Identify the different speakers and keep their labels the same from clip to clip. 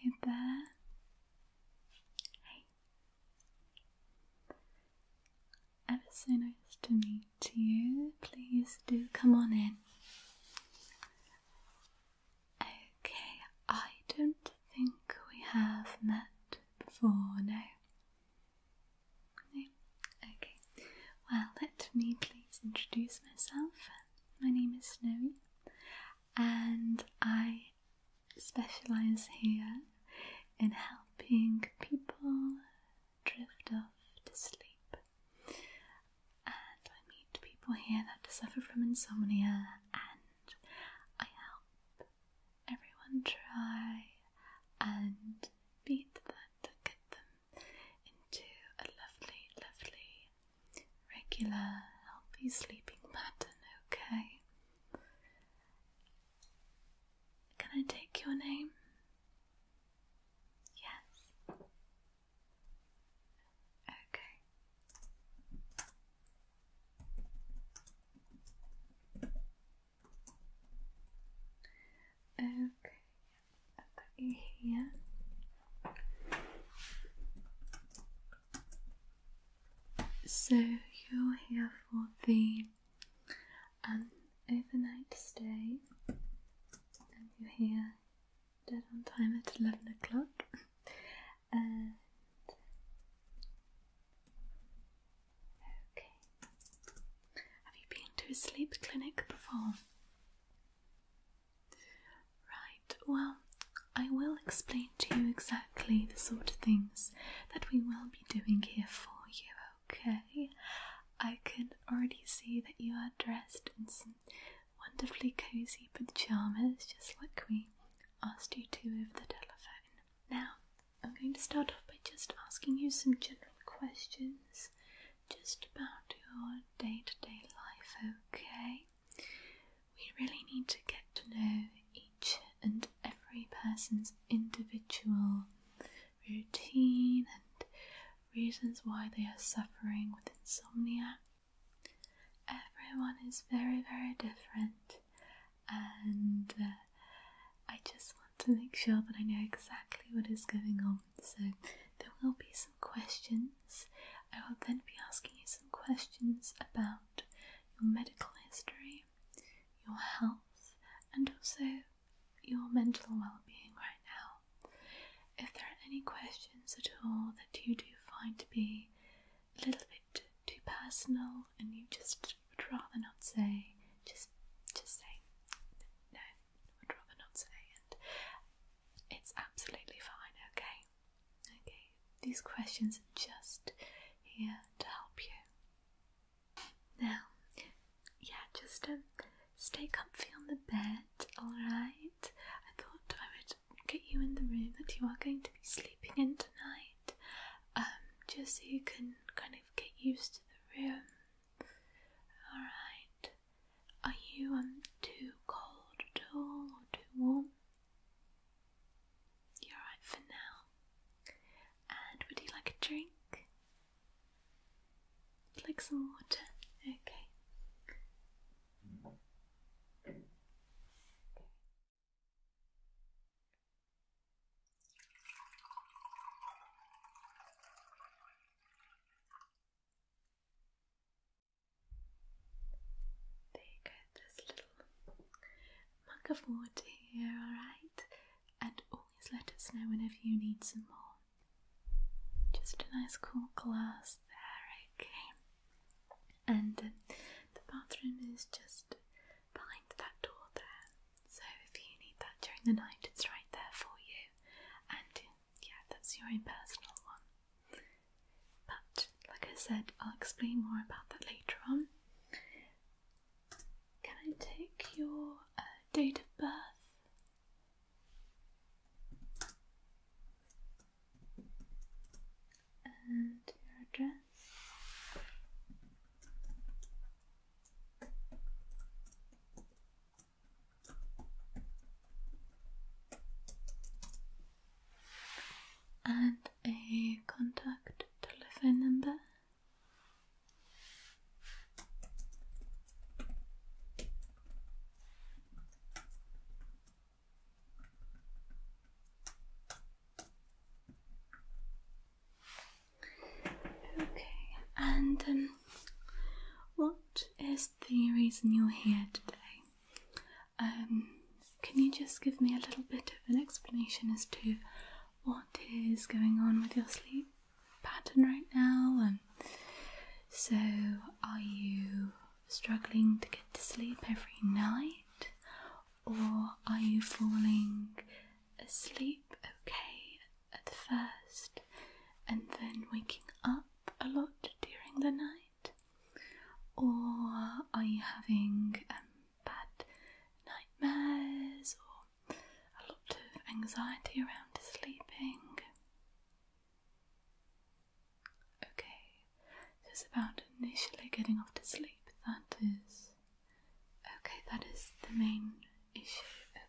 Speaker 1: Hello there. Hey.
Speaker 2: Ever so nice to meet you. Please do come on in. Okay, I don't think we have met before, no. Okay. Well, let me please introduce myself. My name is Snowy, and I specialise here in helping people drift off to sleep and I meet people here that suffer from insomnia, and I help everyone try and beat that to get them into a lovely, lovely, regular, healthy sleeping pattern, okay? Can I take your name? Yes. Okay. Okay, i got you here. So you're here for the um, overnight stay, and you here dead on time at 11 o'clock. okay. Have you been to a sleep clinic before? Right, well, I will explain to you exactly the sort of things that we will be doing here for you, okay? I can already see that you are dressed in some wonderfully cozy but pyjamas, just like we asked you to over the telephone. Now, I'm going to start off by just asking you some general questions just about your day to day life, okay? We really need to get to know each and every person's individual routine and reasons why they are suffering with insomnia. Everyone is very, very different, and uh, I just want to make sure that I know exactly what is going on. So, there will be some questions. I will then be asking you some questions about your medical history, your health, and also your mental well being right now. If there are any questions at all that you do find to be a little bit too personal and you just would rather not say, just just say no, would rather not say and it's absolutely fine, okay? Okay. These questions are just here to help you. Now, yeah, just um, stay comfy on the bed, alright? I thought I would get you in the room that you are going to be sleeping in tonight, um, just so you can kind of get used to the room. Alright. Are you um too cold at all or too warm? You're alright for now. And would you like a drink? would like some water? Okay. There you go, this little mug of water here, alright? And always let us know whenever you need some more. Just a nice cool glass there, okay? And the bathroom is just behind that door there. So if you need that during the night, it's right there for you. And yeah, that's your own personal one. But like I said, I'll explain more about that later on. Can I take your uh, date of birth? and your address. And a contact telephone number. Okay, and um, what is the reason you're here today? Um, can you just give me a little bit of an explanation as to what is going on with your sleep pattern right now? Um, so, are you struggling to get to sleep every night, or are you falling asleep okay at first and then waking up a lot during the night? Or are you having um, bad nightmares or a lot of anxiety around sleeping? Okay, this is about initially getting off to sleep. That is. Okay, that is the main issue. Okay.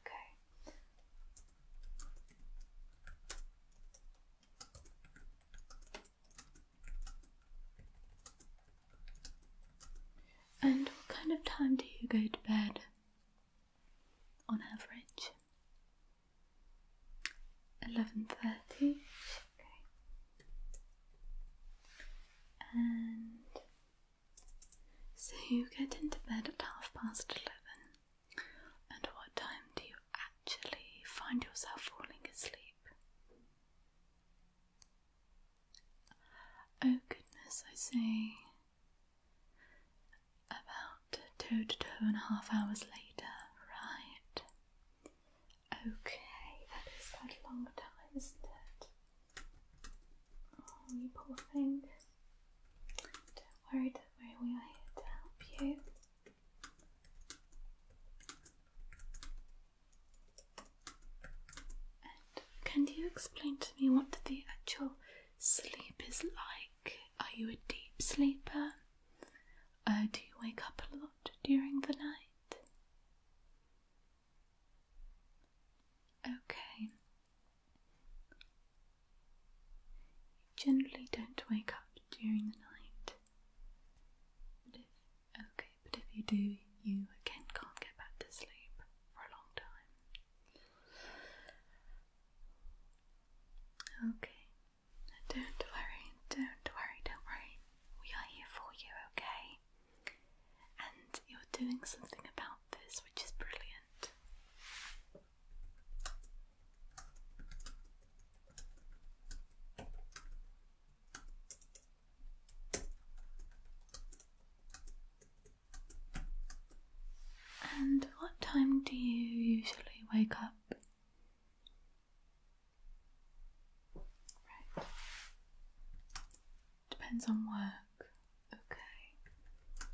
Speaker 2: And what kind of time do you go to bed on average? eleven thirty. Okay. And so you get into bed at half past eleven. And what time do you actually find yourself falling asleep? Oh goodness, I see. About two to two and a half hours later, right? Okay, that is quite a long time, isn't it? Oh, you poor thing. Don't worry, don't worry, we are here to help you. can you explain to me what the actual sleep is like? Are you a deep sleeper? Uh, do you wake up a lot during the night? Okay. generally don't wake up during the night. But if, okay, but if you do, you again can't get back to sleep for a long time. Okay, don't worry, don't worry, don't worry. We are here for you, okay? And you're doing something about this, which is brilliant. And what time do you usually wake up? Right. Depends on work. Okay.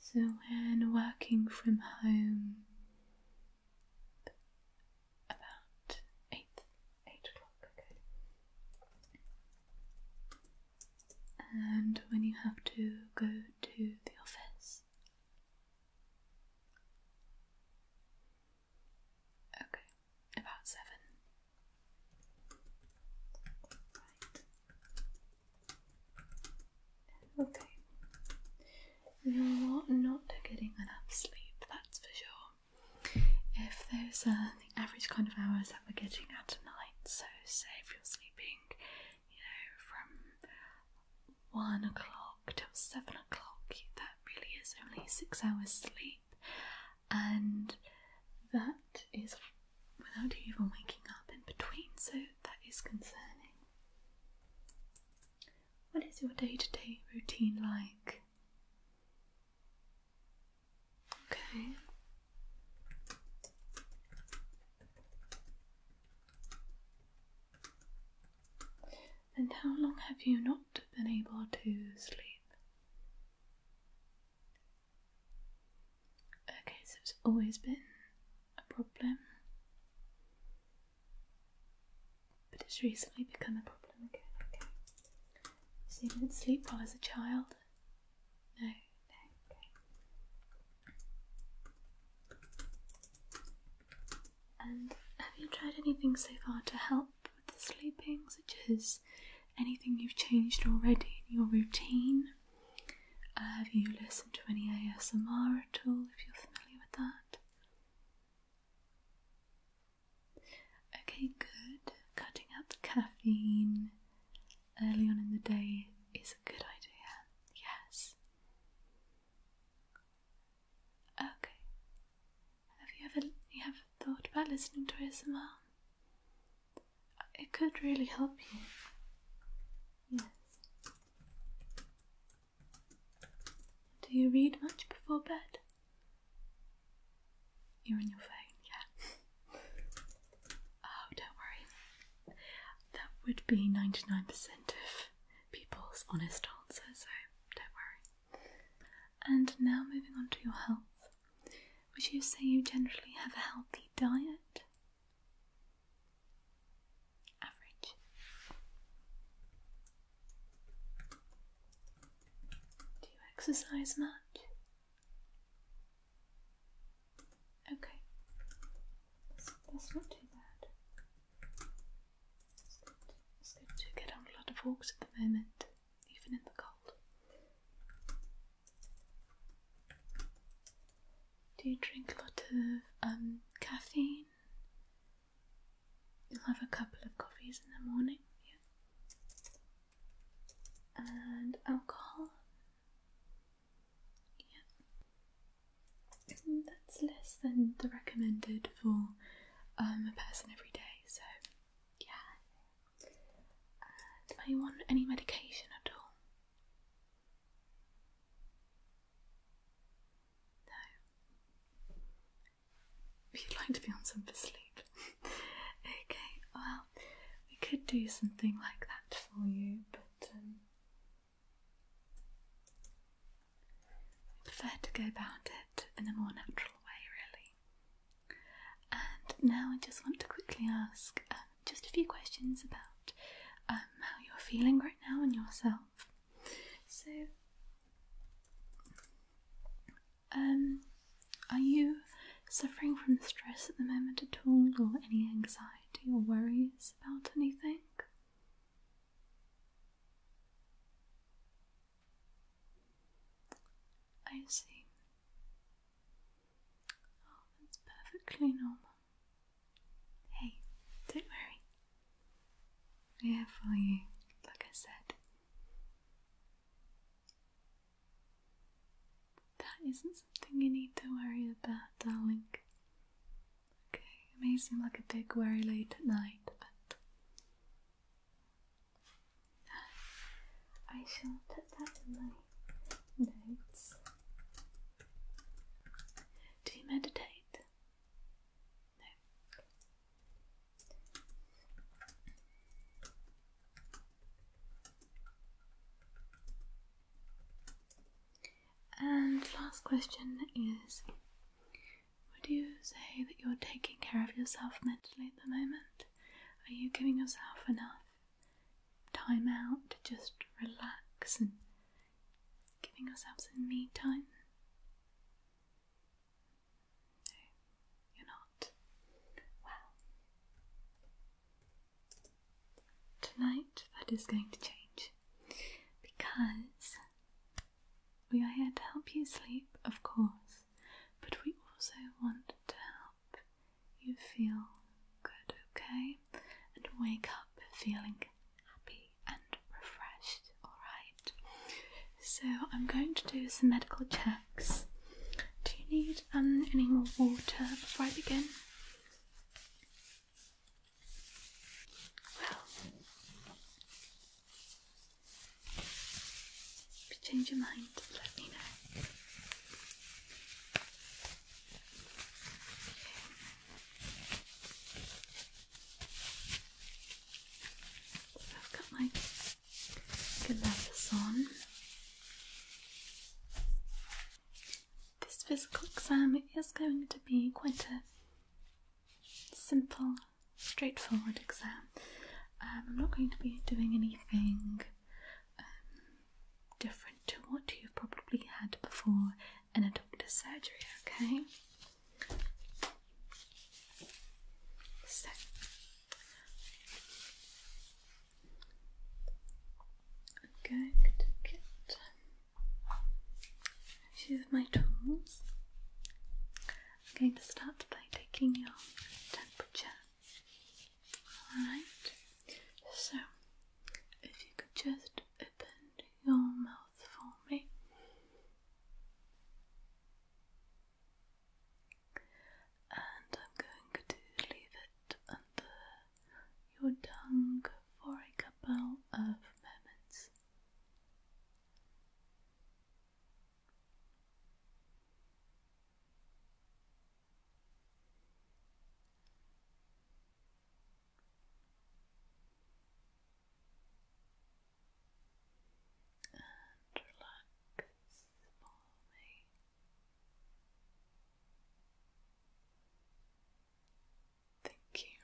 Speaker 2: So, when working from home, about eight, eight o'clock. Okay. And when you have to go to the office, Okay, about seven. Right. Okay. You're not getting enough sleep, that's for sure. If those are uh, the average kind of hours that we're getting at night, so say if you're sleeping, you know, from one o'clock till seven o'clock, that really is only six hours sleep, and that is without you even waking up in between, so that is concerning. What is your day to day routine like? Okay. And how long have you not been able to sleep? Okay, so it's always been a problem, but it's recently become a problem again. Okay. So you didn't sleep well as a child? No, no, okay have you tried anything so far to help with the sleeping, such as anything you've changed already in your routine? Uh, have you listened to any ASMR at all, if you're familiar with that? Okay, good. Cutting out caffeine early on in the day is a good idea, yes. Okay. Have you ever you have thought about listening to ASMR? It could really help you. Yes. Do you read much before bed? You're on your phone, yeah. oh, don't worry. That would be ninety nine percent of people's honest answer, so don't worry. And now moving on to your health. Would you say you generally have a healthy diet? Average. Do you exercise much? Okay. That's, that's not too bad. It's get on a lot of walks at the moment, even in the cold. Do you drink a lot of um, caffeine? You'll have a couple of coffees in the morning, yeah. And alcohol? Yeah that's less than the recommended for um, a person every day, so yeah. Uh, do anyone want any medication at all? No. If you'd like to be on some for sleep. okay, well, we could do something like that for you, but um, I prefer to go about it in a more natural way, really. And now I just want to quickly ask uh, just a few questions about um, how you're feeling right now and yourself. So, um, are you suffering from stress at the moment at all, or any anxiety or worries about anything? I see. Oh, that's perfectly normal. Hey, don't worry. We're here for you, like I said. That isn't something you need to worry about, darling. Okay, it may seem like a big, very late at night, but I shall put that in my notes. Do you meditate? No. And last question is Would you say that you're taking care of yourself mentally at the moment? Are you giving yourself enough time out to just relax and giving yourself some me time? No, you're not. Well, tonight that is going to change because we are here to help you sleep, of course, but we also want to help you feel good, okay? And wake up feeling happy and refreshed, alright? So, I'm going to do some medical checks. Do you need um, any more water before I begin? Well, if you change your mind, let me know. I've got my good on. This physical exam is going to be quite a simple, straightforward exam. Um, I'm not going to be doing anything um, different to what you've probably had before in a doctor's surgery, okay? So, I'm going to get She's my tools. I'm going to start by taking your temperature. Alright, so if you could just open your mouth for me. And I'm going to leave it under your tongue for a couple of moments and relax the palmy. Thank you.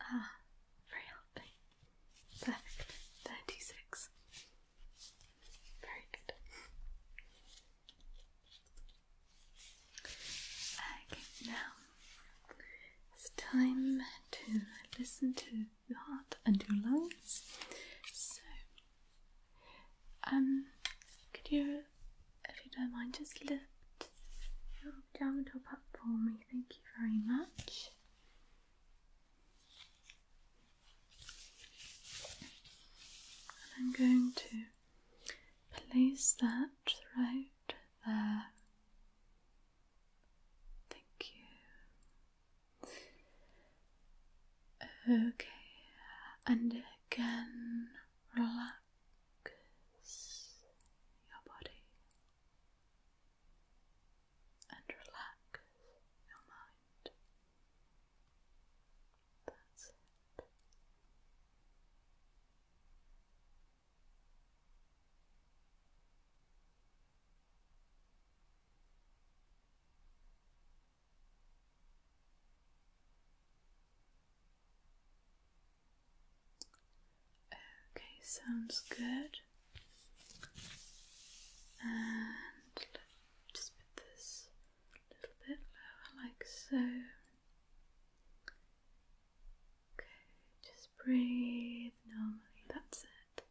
Speaker 2: Ah, very helping. Perfect. Thirty six. Very good. Okay, now it's time to listen to your heart and your lungs. So, um, could you if you don't mind, just lift your down top up for me. Thank you very much. And I'm going to place that right there. Thank you. Okay, and again, relax. Focus your body and relax your mind. That's it. Okay, sounds good. And just put this a little bit lower, like so. Okay, just breathe normally, that's it.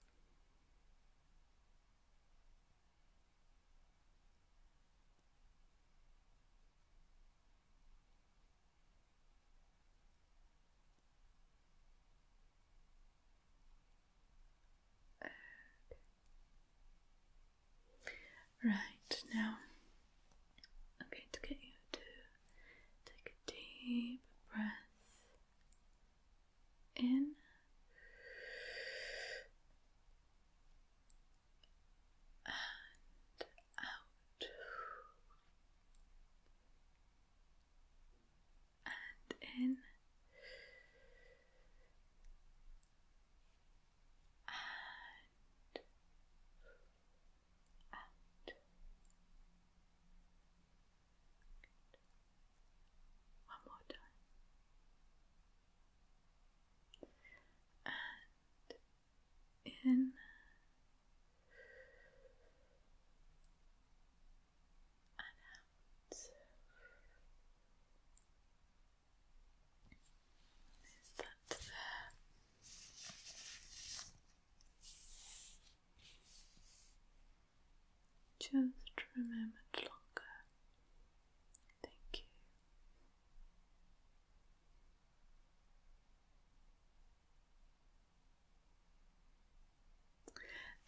Speaker 2: Right now, I'm going to get you to take a deep breath in and out and in and out. One more time. And in and out. Is that there? Just remember longer. Thank you.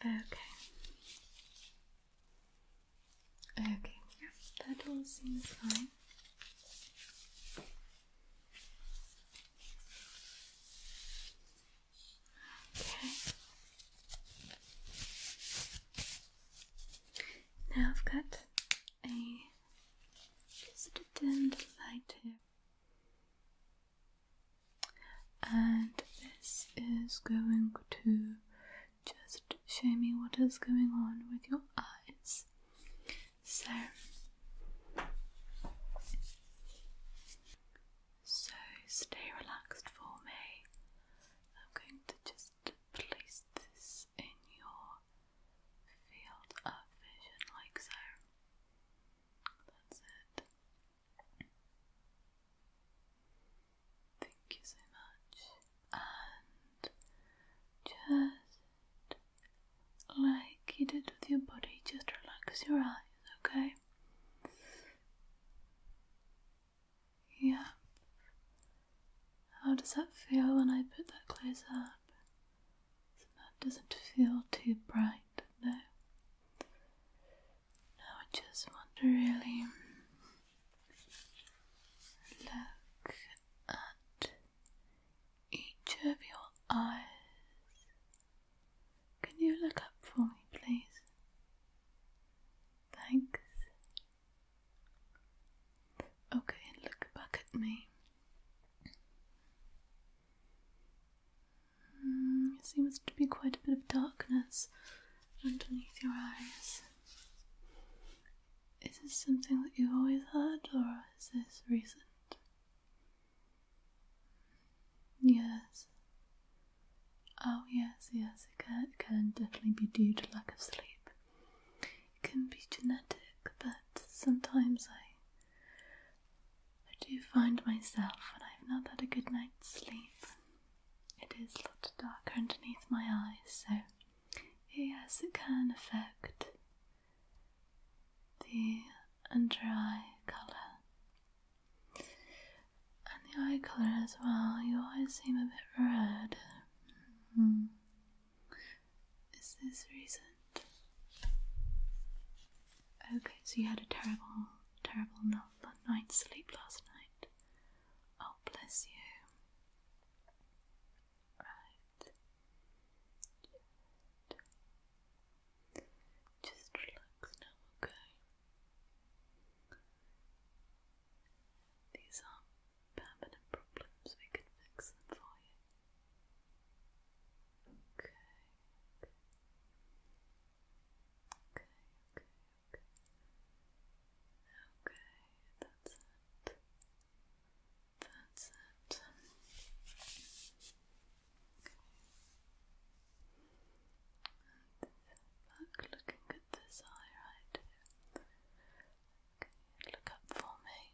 Speaker 2: Okay. Okay, yeah, that all seems fine. Okay. Now I've got a just a light here and this is going to just show me what is going on with your eyes. So, so stay relaxed for me. I'm going to just place this in your field of vision like so. That's it. Thank you so much. And just like you did with your body, just relax your eyes, okay? Yeah. How does that feel when I put that closer? map. So that doesn't feel too bright, no. Now I just want to really look at each of your eyes. Can you look up for me, please? Thanks. Okay, look back at me. Mm, there seems to be quite a bit of darkness underneath your eyes. Is this something that you've always had, or is this recent? Yes. Oh, yes, yes, it can definitely be due to lack of sleep. It can be genetic, but sometimes I I do find myself when I've not had a good night's sleep. It is a lot darker underneath my eyes, so yes, it can affect the under eye colour and the eye colour as well. You always seem a bit red. Hmm. Is this recent? Okay, so you had a terrible, terrible night sleep last night. Oh, bless you. Right. Just relax now, okay? These are permanent problems, we can fix them for you. Okay. Okay, okay, okay. Okay, that's it. That's it. back looking at this eye right Okay, look up for me.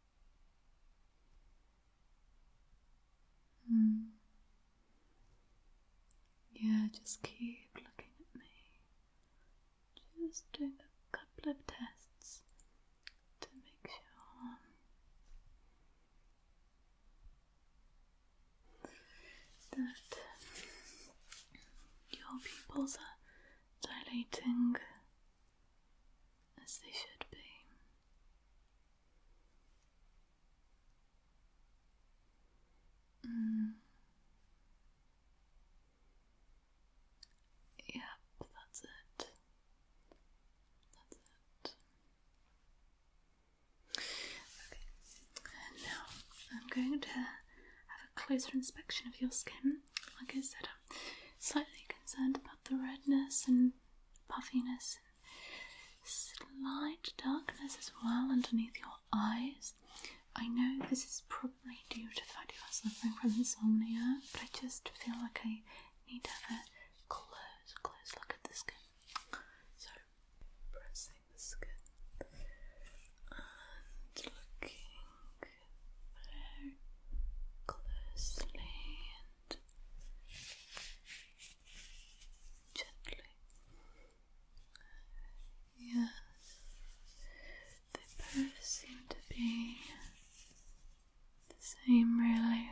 Speaker 2: Hmm. Yeah, just keep looking at me. Just doing a couple of tests to make sure. That your pupils are dilating as they should be. Mm. Yep, that's it. That's it. Okay, now I'm going to have a closer inspection of your skin. Like I said, slightly concerned about the redness and puffiness slight darkness as well underneath your eyes. I know this is probably due to the fact you are suffering from insomnia, but I just feel like I need to have a close, close look at the skin. So, pressing the skin and looking very closely and gently. Yes, they both seem to be the same, really.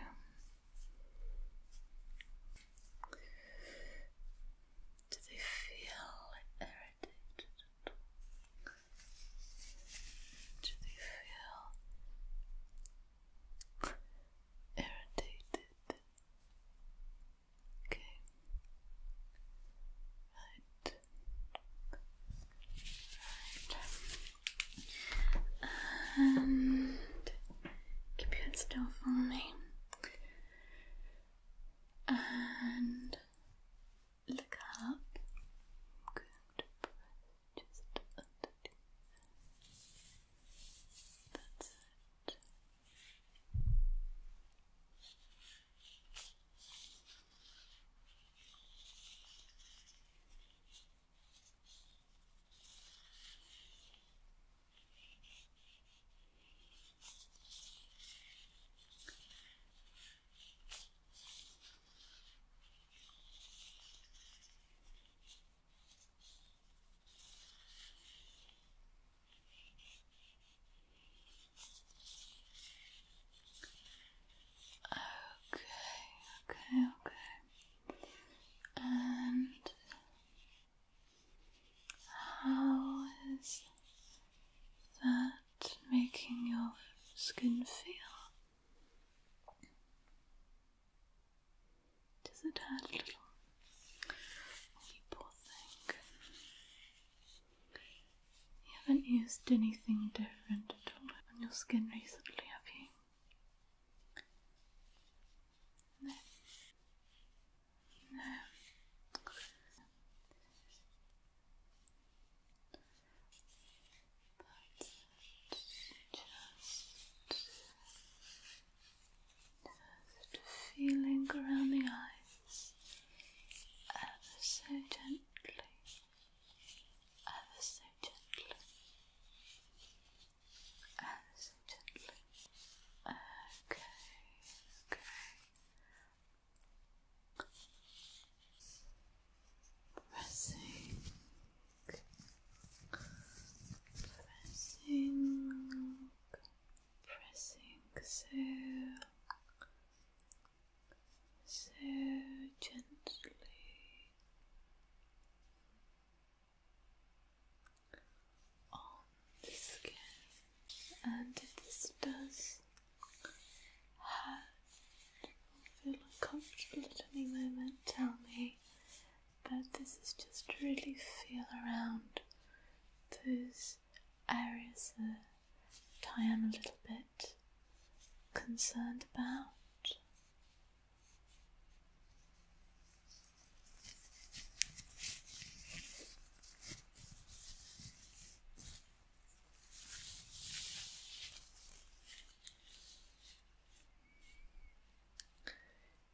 Speaker 1: Do they feel irritated do they feel irritated? Okay.
Speaker 2: Right. Right. And keep your head still for me. And look up. I'm just underneath. That's it. Okay, okay, okay. And how is that making your skin feel? Does it hurt you poor thing. You haven't used anything different at all on your skin recently, have you? No but just, just feeling around the eyes ever so gently, ever so gently, ever so gently. Okay, okay
Speaker 1: pressing, pressing, pressing so,
Speaker 2: so gently on the skin, and this does feel uncomfortable at any moment, tell me. But this is just really feel around those areas that I am a little bit concerned about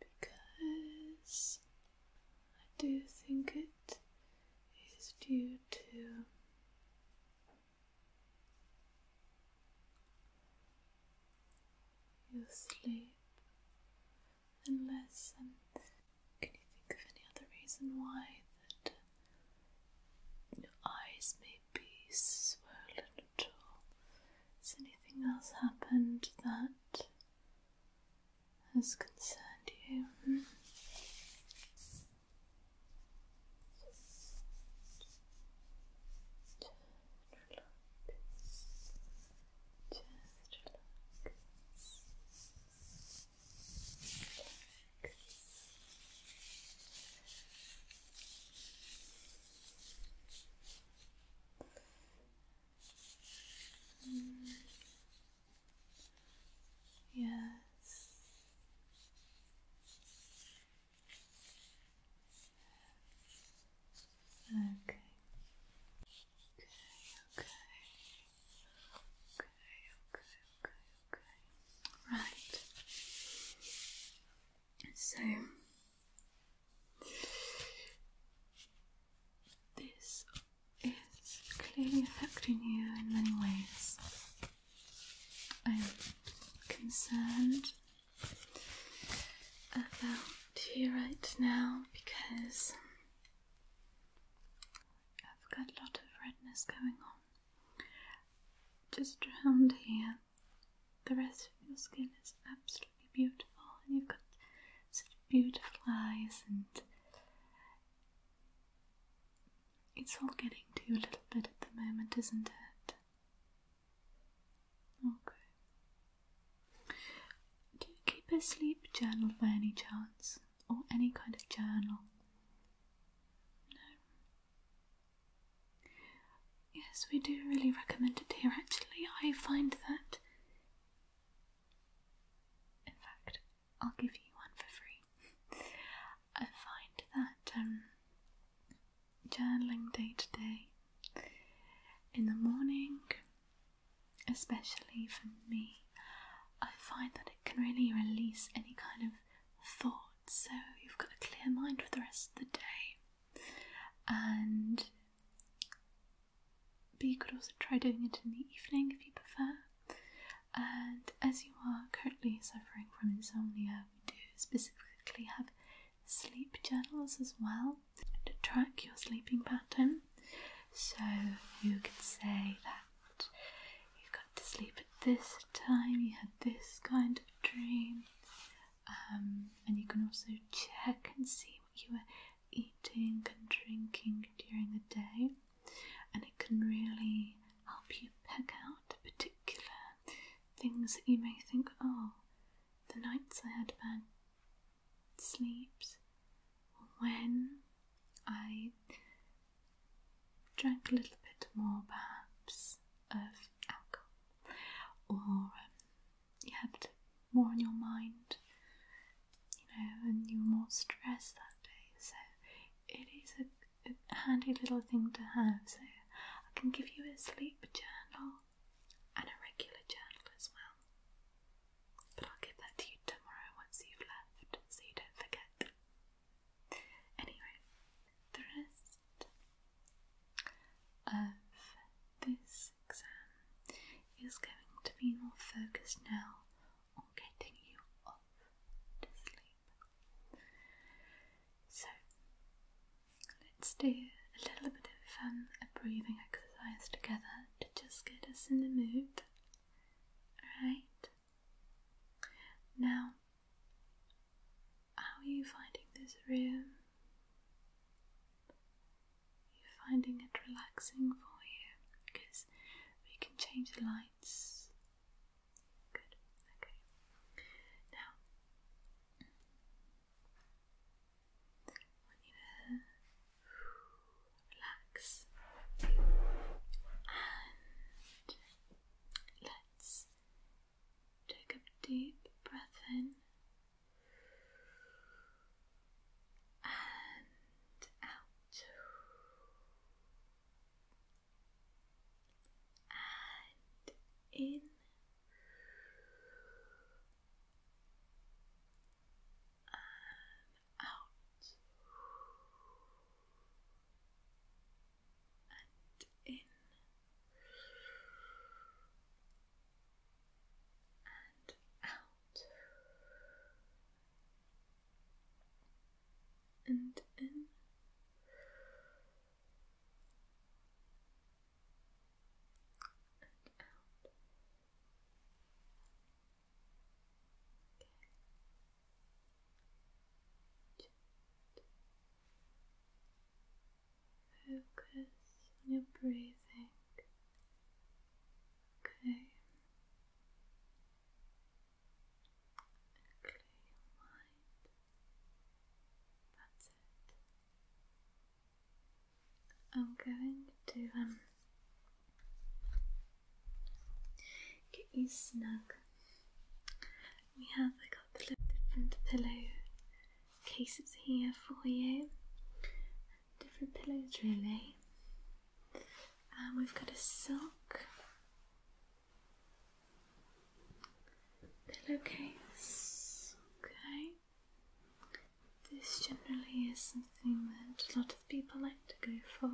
Speaker 2: because I do think it is due to your sleep and less. And can you think of any other reason why that your eyes may be swollen at all. Has anything else happened that has concerned you? Hmm?
Speaker 1: Yes. Okay, okay. Okay, okay, okay, okay. Right. So
Speaker 2: this is clearly affecting you in many ways. I'm concerned about you right now because I've got a lot of redness going on. Just around here, the rest of your skin is absolutely beautiful, and you've got such beautiful eyes, and it's all getting to you a little bit at the moment, isn't it? Okay. Do you keep a sleep journal by any chance, or any kind of journal? No. Yes, we do really recommend it here actually. I find that. In fact, I'll give you one for free. I find that um, journaling day to day in the morning, especially for me, I find that it can really release any kind of thoughts, so you've got a clear mind for the rest of the day and but you could also try doing it in the evening if you prefer. And as you are currently suffering from insomnia, we do specifically have sleep journals as well to track your sleeping pattern. So you could say that you got to sleep at this time, you had this kind of dream, um, and you can also check and see what you were eating and drinking during the day, and it can really help you pick out particular things that you may think, oh, the nights I had bad sleeps, when I drank a little bit more perhaps of alcohol or um, you had more on your mind, you know, and you were more stressed that day. So it is a, a handy little thing to have. So I can give you a sleep journal and a regular journal as well. But I'll give that to you tomorrow once you've left so you don't forget. Anyway, the rest of this exam is going to be more focused now on getting you off to sleep. So let's do a little bit of um, a breathing exercise together to just get us in the mood. Alright? Now how are you finding this room? you finding it relaxing for you because we can change the lights. Good, okay. Now, I want to relax and let's Take a deep breath in and out and in. And out and in and out and in. And out. Okay. Just Focus on your breathing. Okay. clear your mind. That's it. I'm going to um get you snug. We have a couple of different pillow cases here for you, different pillows, really. And we've got a sock, pillowcase, okay. This generally is something that a lot of people like to go for.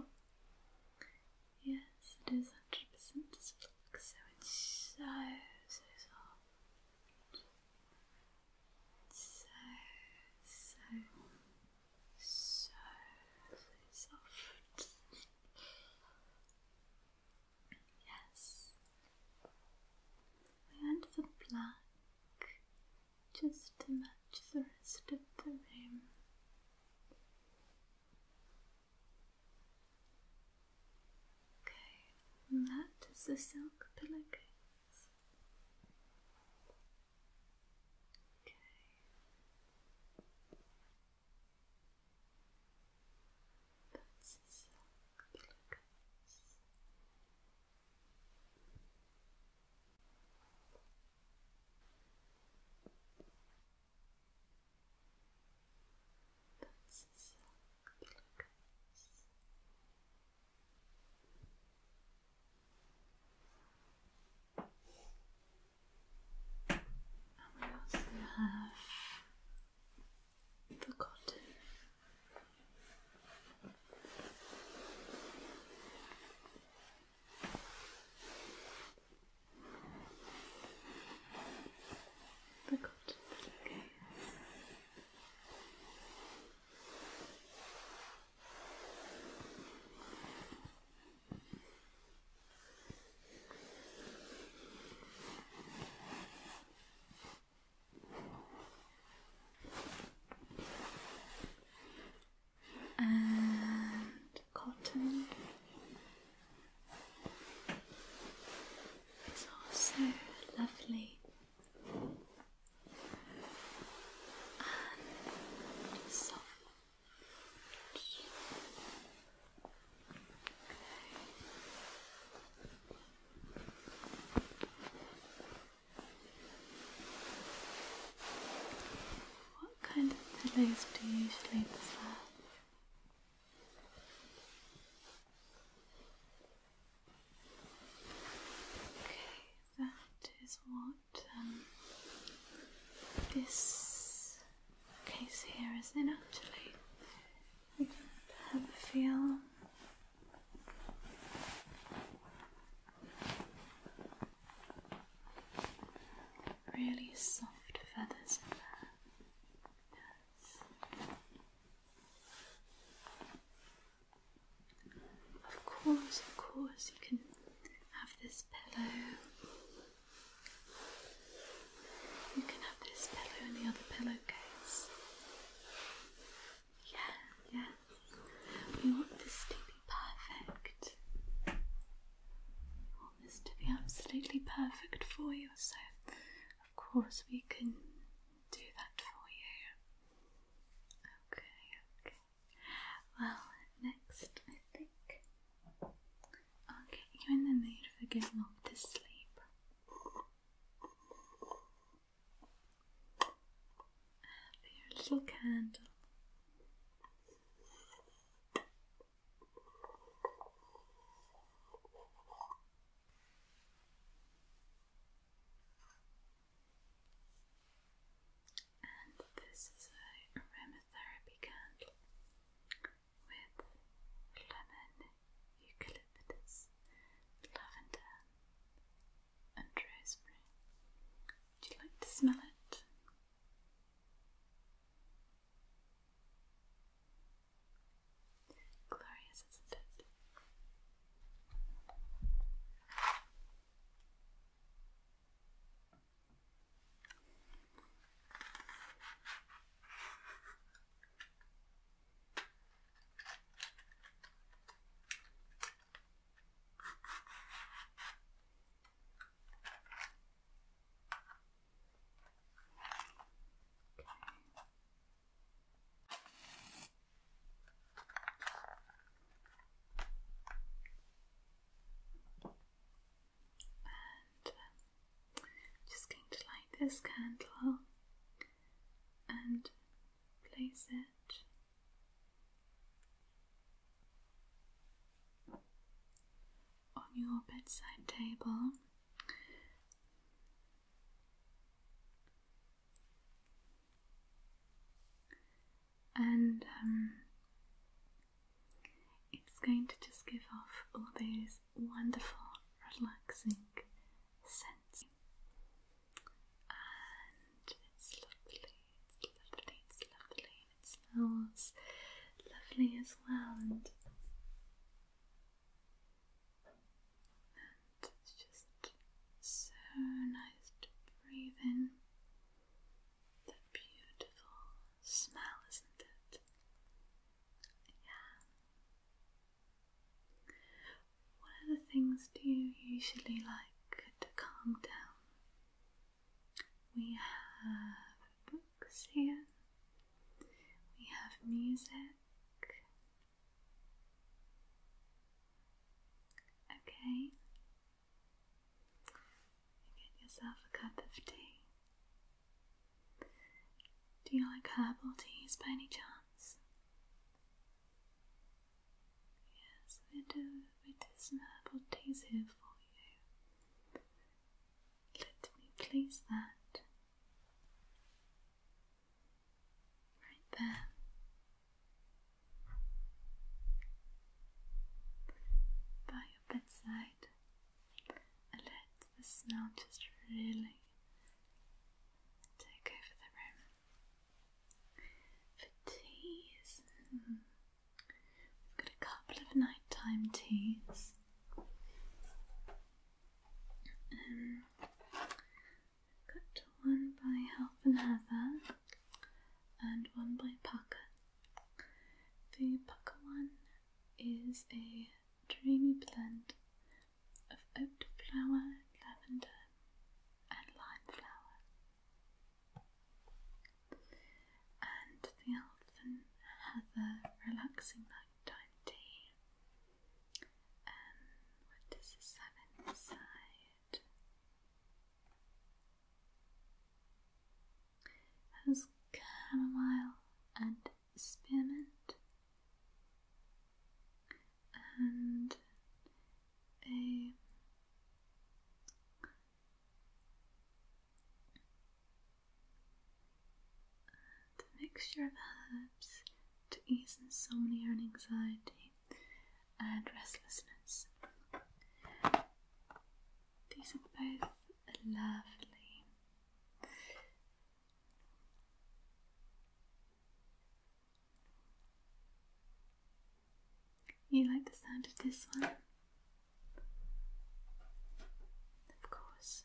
Speaker 2: Yes, it is 100% silk, so it's so, so soft
Speaker 1: so, so, so, so soft.
Speaker 2: yes, we went for black just to match the rest of the room. Okay, that is the silk pillowcase. Okay. That's the silk pillowcase
Speaker 1: that's exactly And we also have the cotton. The cotton, okay and cotton
Speaker 2: it's all so lovely and soft. What kind of pillows do you usually prefer? Okay, that is what um, this case here is in actually. I can have feel. Really soft feathers in there. Yes. Of course, of course, you can have this pillow. You can have this pillow and the other pillowcase. Yeah, yeah. We want this to be perfect. We want this to be absolutely perfect for you, so of course we can do that for you. Okay, Well, next I think I'll get you in the mood for getting off to sleep. your little candle. And this is a aromatherapy candle with lemon, eucalyptus, lavender, and rosemary. Would you like to smell it? Glorious, isn't it? Okay. Uh, just going to light this candle and place it on your bedside table and um, it's going to just give off all these wonderful, relaxing scents. And it's lovely, it's lovely, it's lovely, and it smells lovely as well. And it's just so nice to breathe in that beautiful smell, isn't it? Yeah. What other things do you usually like to calm down? We have books here, we have music, Okay. Get yourself a cup of tea. Do you like herbal teas by any chance? Yes, we do. We do some herbal teas here for you. Let me place that Right there. By your bedside, and let the smell just really take over the room. For teas, hmm. we've got a couple of nighttime teas. Um, Cut one by half and heather and one by Parker. The Parker one is a dreamy blend of oat flower, lavender, and lime flower. And the elf and heather relaxing nighttime tea um, what does this Has chamomile and spearmint, and a mixture of herbs to ease insomnia and anxiety and restlessness. These are both lovely. You like the sound of this one? Of
Speaker 1: course.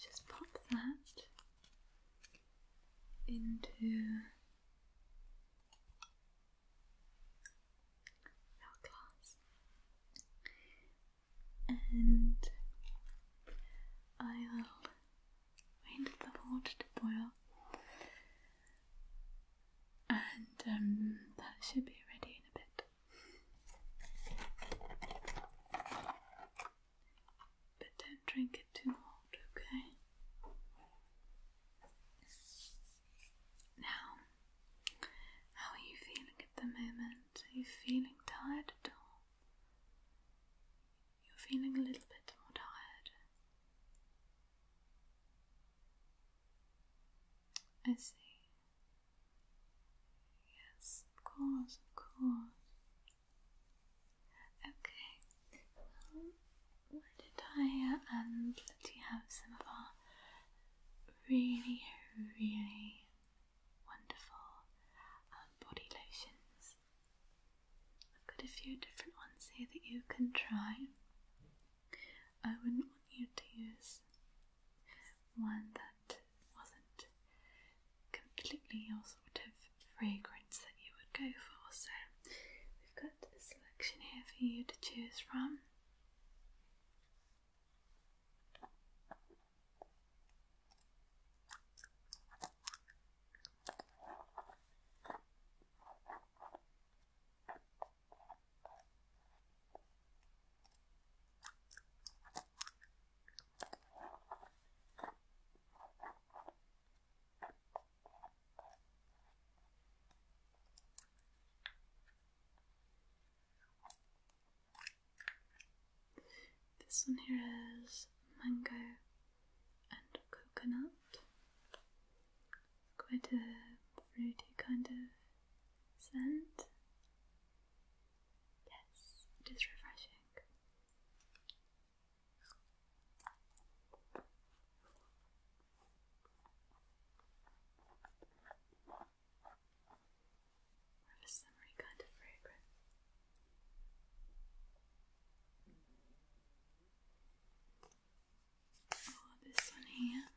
Speaker 1: just pop that into our glass,
Speaker 2: and I'll wait for the water to boil and um, that should be ready in a bit. But don't drink it too hot, okay? Now, how are you feeling at the moment? Are you feeling tired at all? You're feeling a little bit more tired. I see. Yes, of course, of course. Okay. Well, why do I uh, um, let you have some of our really, really wonderful um, body lotions? I've got a few different ones here that you can try. I wouldn't want you to use one that wasn't completely your sort of fragrance that you would go for. So we've got a selection here for you to choose from. This one here is mango and coconut quite a fruity kind of scent. Yes, it is refreshing. a summery kind of fragrance. Oh, this one here. This.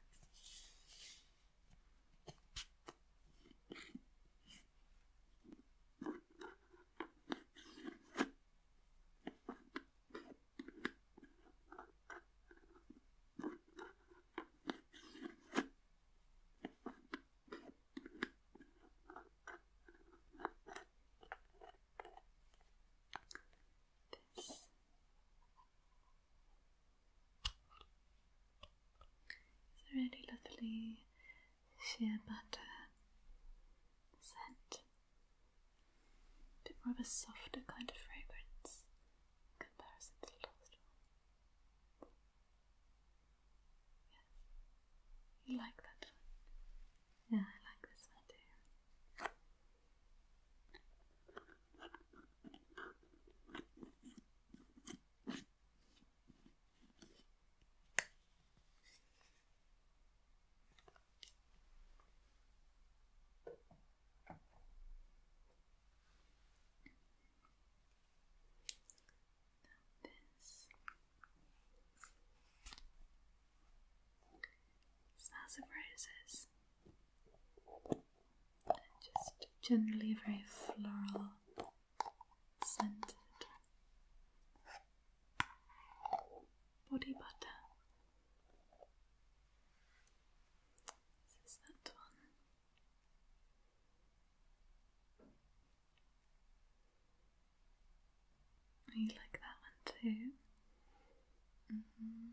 Speaker 2: It's a really lovely sheer butter scent. A bit more of a softer kind of fragrance comparison to last one. Yes. You like that Yeah, I like this one too. Smells of roses just generally very floral scented body butter. is that one. You like that one too? Mm-hmm.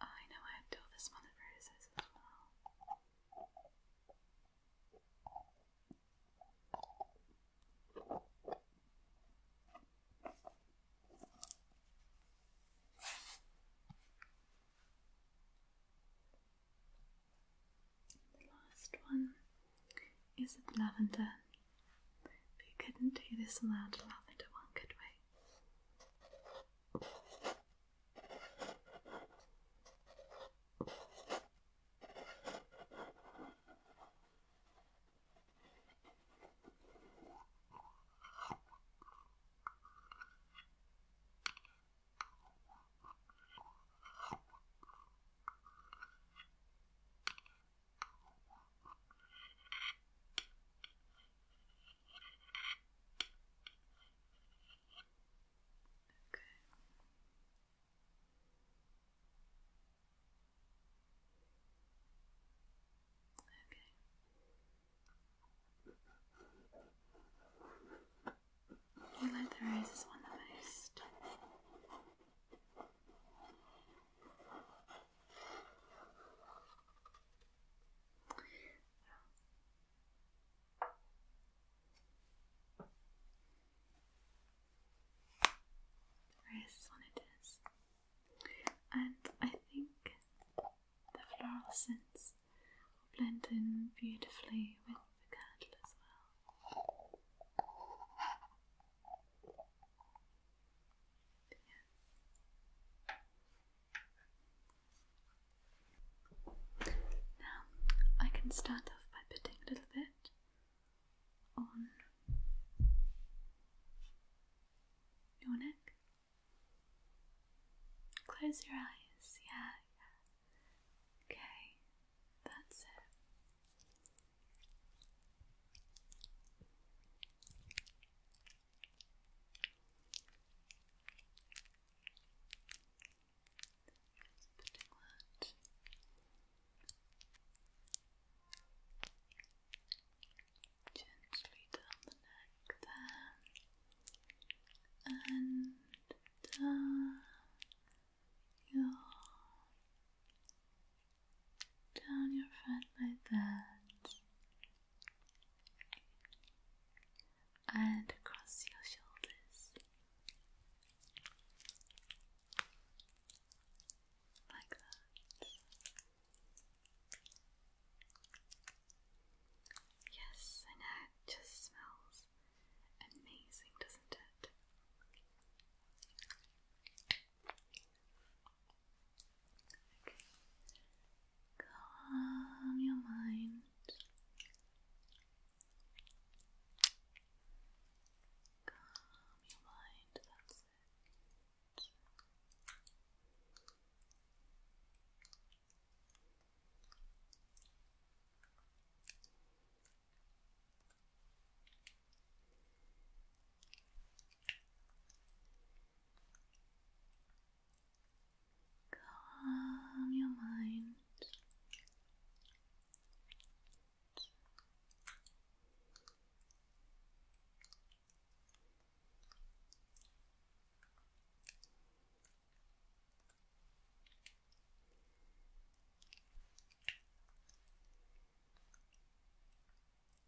Speaker 2: I know I have to all the as well. The last one is of lavender we couldn't do this without a lavender one, could we? Okay. Okay. Yellow the Rose one the most Right, this And I think the floral scents will blend in beautifully with the candle as well. Now, I can start off by putting a little bit on your neck. Close your eyes, yeah, Okay, that's it. Just putting
Speaker 1: gently down the neck there and
Speaker 2: down your down your front like that, and across your shoulders,
Speaker 1: like that. Yes,
Speaker 2: I know, it just smells amazing, doesn't it? Calm your mind. Calm your mind, that's it. Calm your mind. Just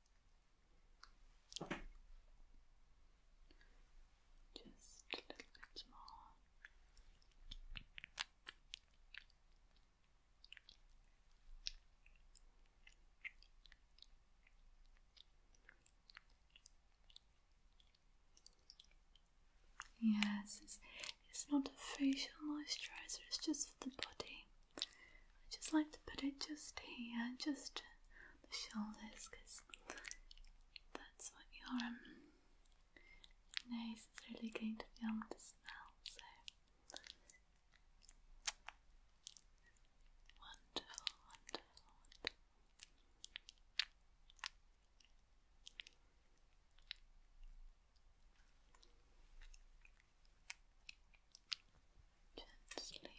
Speaker 2: a little bit more. Yes, it's, it's not a facial moisturizer, it's just for the body. I just like to put it just here, just the shoulders, because that's what your um, nose is really going to be able to smell. So
Speaker 1: gently, gently.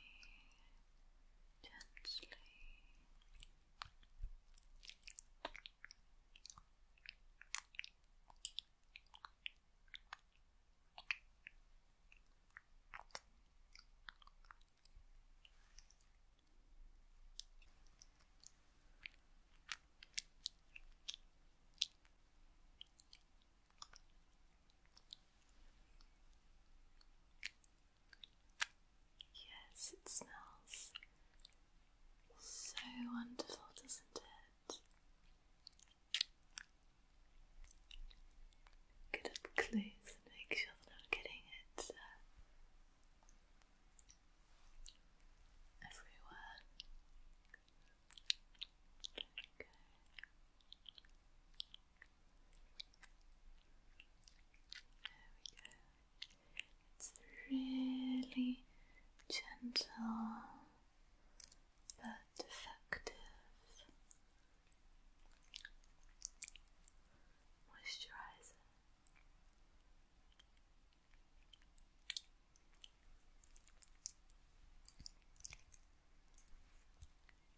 Speaker 2: Yes, it smells so wonderful, doesn't it?
Speaker 1: Get up close and make sure getting it uh, everywhere.
Speaker 2: It's really gentle but effective moisturizer.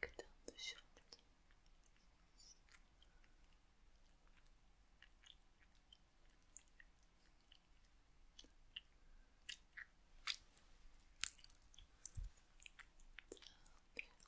Speaker 1: Back down the shoulder. Down the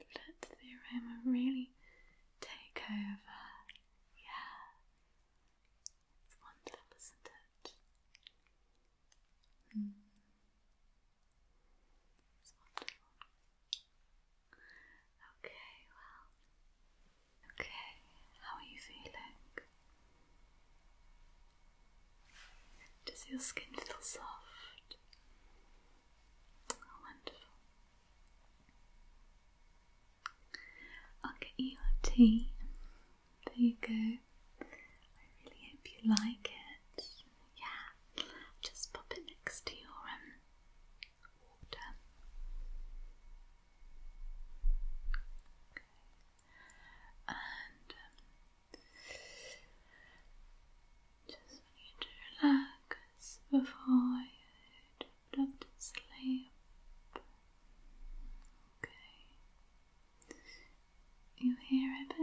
Speaker 2: Okay. Let the aroma really take over. Yeah. It's wonderful, isn't it? Okay, well. Okay, how are you feeling? Does your skin feel soft? Oh, wonderful. I'll get you your tea. There you go. I really hope you like it yeah, just pop it next to your um, water. Okay. And um, just want to relax before you put to sleep. Okay. You hear it at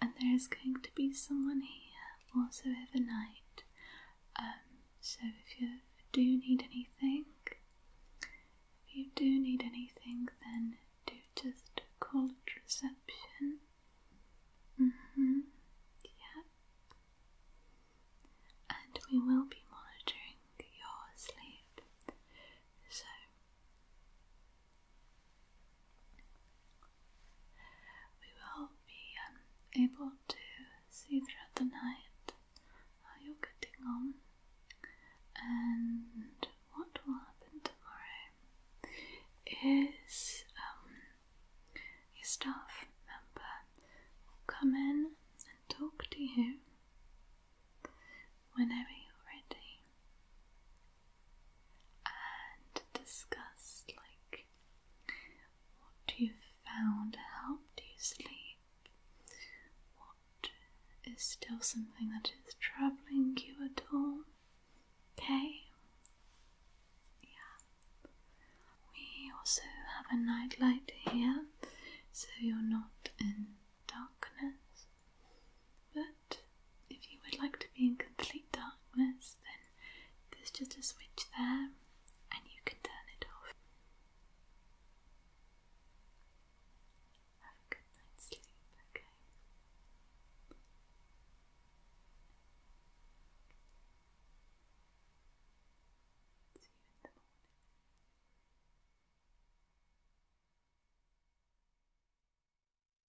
Speaker 2: and there is going to be someone here also overnight. Um, so if you do need anything, if you do need anything, then do just call at reception. Mm-hmm. Yeah. And we will be monitoring your sleep. So we will be um, able to see throughout the night how you're getting on and what will happen tomorrow is um, your staff member will come in and talk to you whenever you're ready and discuss like what you found helped you sleep, what is still something that is troubling you at all. Okay? Yeah. We also have a nightlight here so you're not in darkness if you would like to be in complete darkness, then there's just a switch there and you can turn it off. Have a good night's sleep, okay? See you in the morning.